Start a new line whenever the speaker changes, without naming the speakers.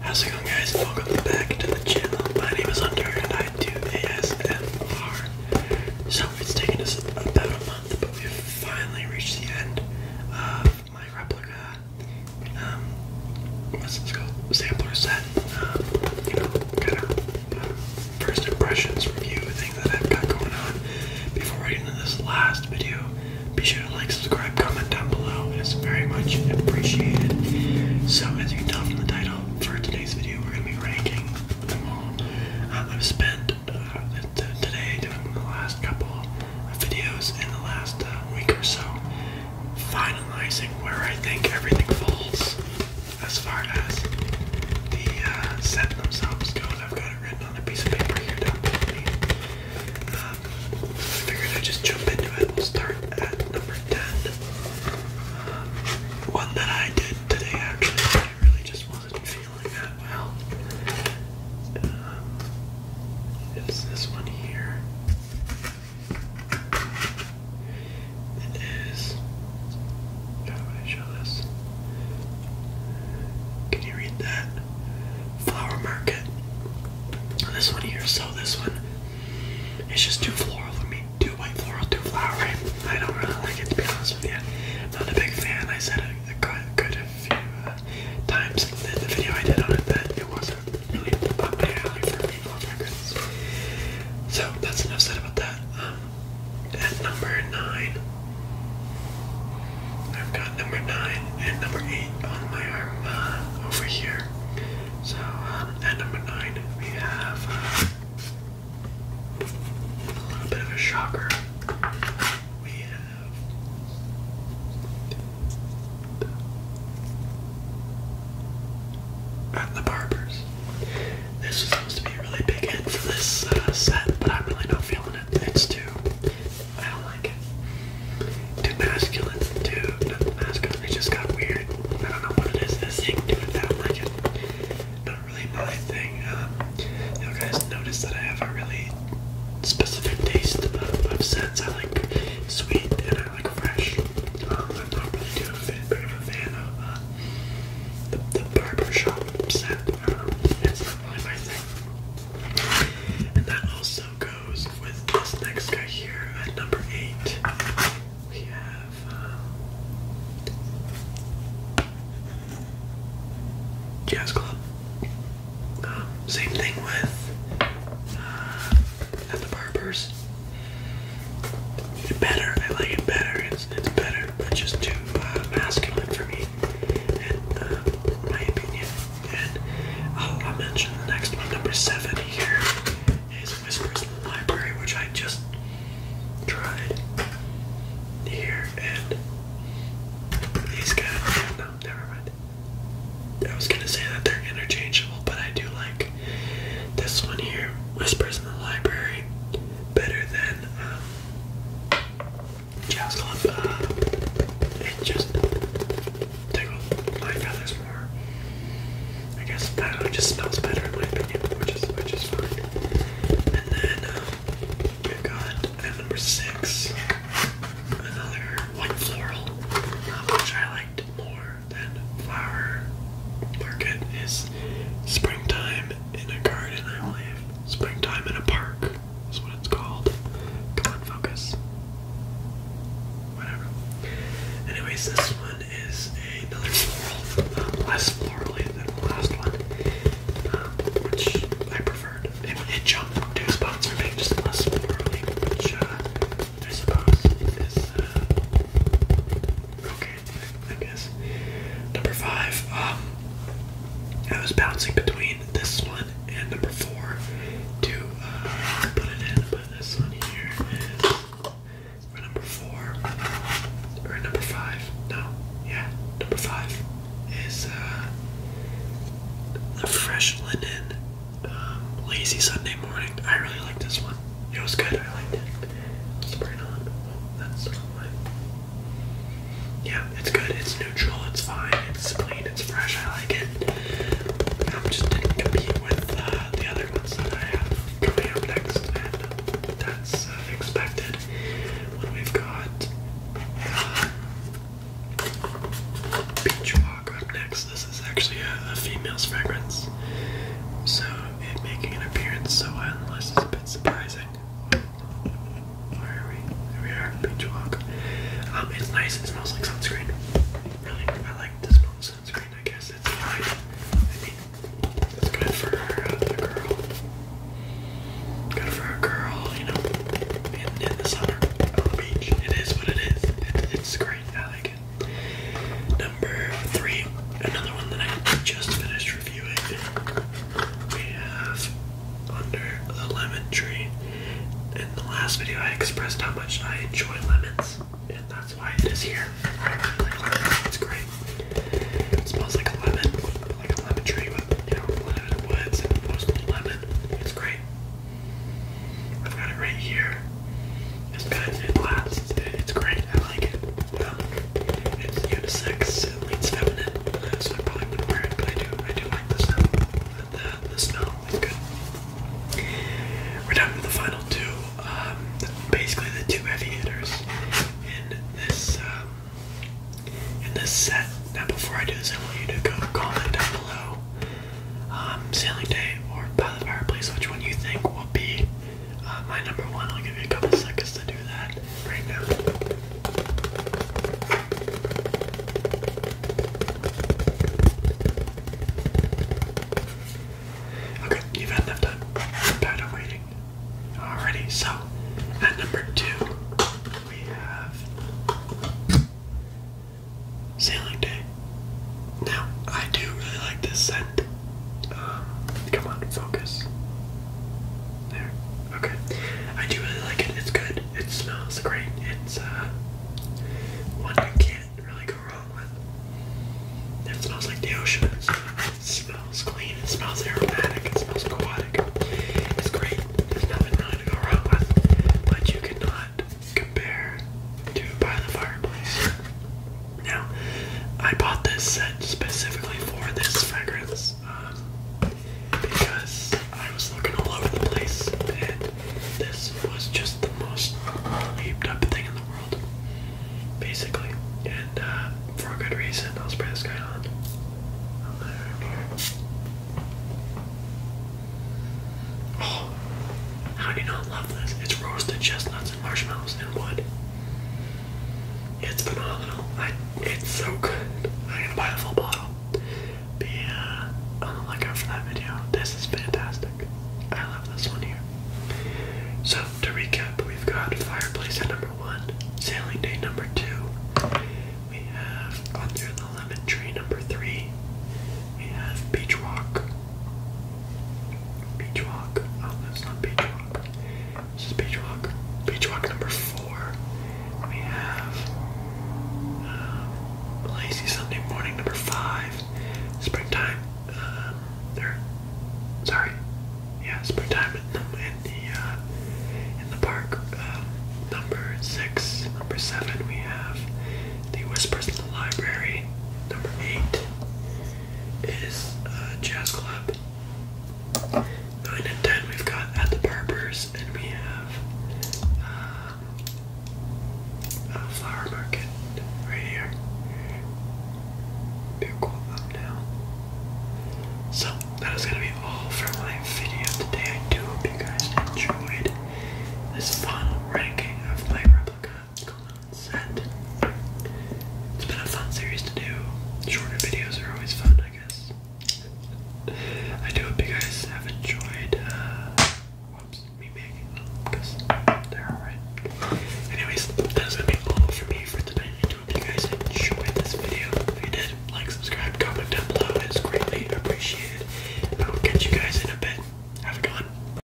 How's it going guys? Welcome back to the channel. My name is Hunter and I do ASMR. So it's taken us about a month, but we've finally reached the end of my replica. Um, what's this called? Sampler set. Um, you know, kind of uh, first impressions review thing that I've got going on. Before we get into this last video, be sure to like, subscribe, comment down below. It is very much appreciated. So, as you can tell from the title, for today's video, we're going to be ranking them all. Uh, I've spent uh, today doing the last couple of videos in the last uh, week or so, finalizing where I think everything falls as far as the uh, set themselves go. I've got it written on a piece of paper here down below me. Uh, figured I'd just jump into it. we start at number 10. one that I did today, actually, really just wasn't feeling that well. Um, it's this one here. It is. How I show this? Can you read that? flower market. This one here, so this one is just too floral for me. Too white floral, too flowery. I don't really like it to be honest with you. Not a big fan. I said a, a good, good few uh, times in the video I did on it that it wasn't really up my alley for me on So that's enough said about that. Um, at number nine I've got number nine and number eight on my arm uh, over here. So uh, at number nine we have uh, a little bit of a shocker. We have at the barbers. This is supposed to be a really big hit for this set, but I'm really not feeling it. It's too I don't like it. Too masculine, too not masculine. It just got weird. I don't know what it is. This thing doing that. I don't like it. Not really my thing. Um, you guys notice that I have a really specific taste of, of scents. I like sweet and I like fresh. Um, I'm not really too a fan, big of a fan of uh, the, the barber shop scent. Um, and that also goes with this next guy here at number eight. We have. Um, Jazz Club. Um, same thing with uh, at the barbers. Better, I like it better. It's better, but just too uh, masculine for me right, uh, my opinion. And oh, I'll, mention the next one, number seven here, is Whispers in the Library, which I just tried here, and these guys, no, never mind. I was gonna say that they're interchangeable, but I do like this one here, Whispers in the Library, better than um, jazz club. Uh, it just tickled my feathers more. I guess I it just smells better in my opinion, which is which is fine. And then um, we've got number six another white floral, which I liked more than flower market is springtime in a garden, I believe. Springtime in a park is what it's called. Come on, focus. Whatever. Anyways, this one is another floral, uh, less florally than the last one, um, which I preferred. It, it two spots sponsor being just less florally, which uh, I suppose is uh, okay guess. Number five, um, I was bouncing between this one and number four to uh, put it in, Put this one here. for number four or number five. No, yeah, number five is a uh, fresh linen um, lazy Sunday morning. I really like this one. It was good. I liked it. let it on. that's not yeah, it's good. It's neutral. It's fine. It's clean. It's fresh. I like it. I'm just didn't compete with uh, the other ones that I have coming up next, and that's uh, expected. When we've got uh, Beach Walk up next, this is actually a, female's fragrance, so it making an appearance. So unless is a bit surprising. Where are we? There we are. Beach walk. Um, it's nice. It smells like sunscreen. Really, I like the sunscreen. I guess it's fine. I mean, it's good for uh, girl. Good for a girl, you know, in, the summer on the beach. It is what it is. it's great. I like it. Number three, another one that I just finished we have Under the Lemon Tree. In the last video, I expressed how much I enjoy lemons, and that's why it is here. I really like lemons, it's great. It smells like a lemon, like a lemon tree with, you know, lemon woods and mostly lemon. It's great. I've got it right here. It's good. It lasts. It's great. I like it. It's unisex, it feminine, I probably wouldn't wear it, but I do, I do like the The, the, is good. We're down to the final two, um, basically the two heavy hitters in this, um, in this set. Now before I do this, I want you to go comment down below, um, Sailing Day or By the Fireplace, which one you think will be uh, my number one. I'll give you a couple seconds to do that right now. Okay, you've had enough time. I'm tired waiting. Alrighty, so at number two, we have Sailing Day. Now, I do really like this scent. Uh, come on, focus. There. Okay. I do really like it. It's good. It smells great. It's uh, one you can't really go wrong with. It smells like the ocean. It smells clean. It smells aromatic. It smells aquatic. It's great. There's nothing really to go wrong with. But you cannot compare to By the Fireplace. Now, I bought this set specifically for this fragrance um, because I was looking all over the place and this was just the most heaped up thing in the world, basically. And uh, for a good reason, I'll spray this guy on. Oh, how do you not love this? It's roasted chestnuts and marshmallows and wood. It's phenomenal. I, it's so good. I'm gonna buy a full bottle. Be uh, on for that video. This is fantastic. I love this one here. So to recap, we've got fireplace at number one, sailing day number two. We have under the lemon tree number three. We have beach rock. Beach Walk. Oh, that's not Beach Walk. This is Beach Walk. Beach Walk number four. We have uh, Lazy Sunday Morning number five. Springtime. Um, there. Sorry. Yeah, springtime in the in the, uh, in the park. Um, number six. Number seven. We have the Whispers in the Library. Number eight is a Jazz Club. 9 and 10 we've got At the Barbers, and we have um, Flower Market right here. Be a cool So, that is going to be all for my video today. I do hope you guys enjoyed this final ranking of my replica it's been a fun series to do. Shorter videos are always fun, I guess. I do hope you guys have enjoyed uh, whoops, me making because they're alright. Anyways, that's gonna be all for me for tonight. I do hope you guys enjoyed this video. If you did, like, subscribe, comment down below. It's greatly appreciated. I will catch you guys in a bit. Have a good one.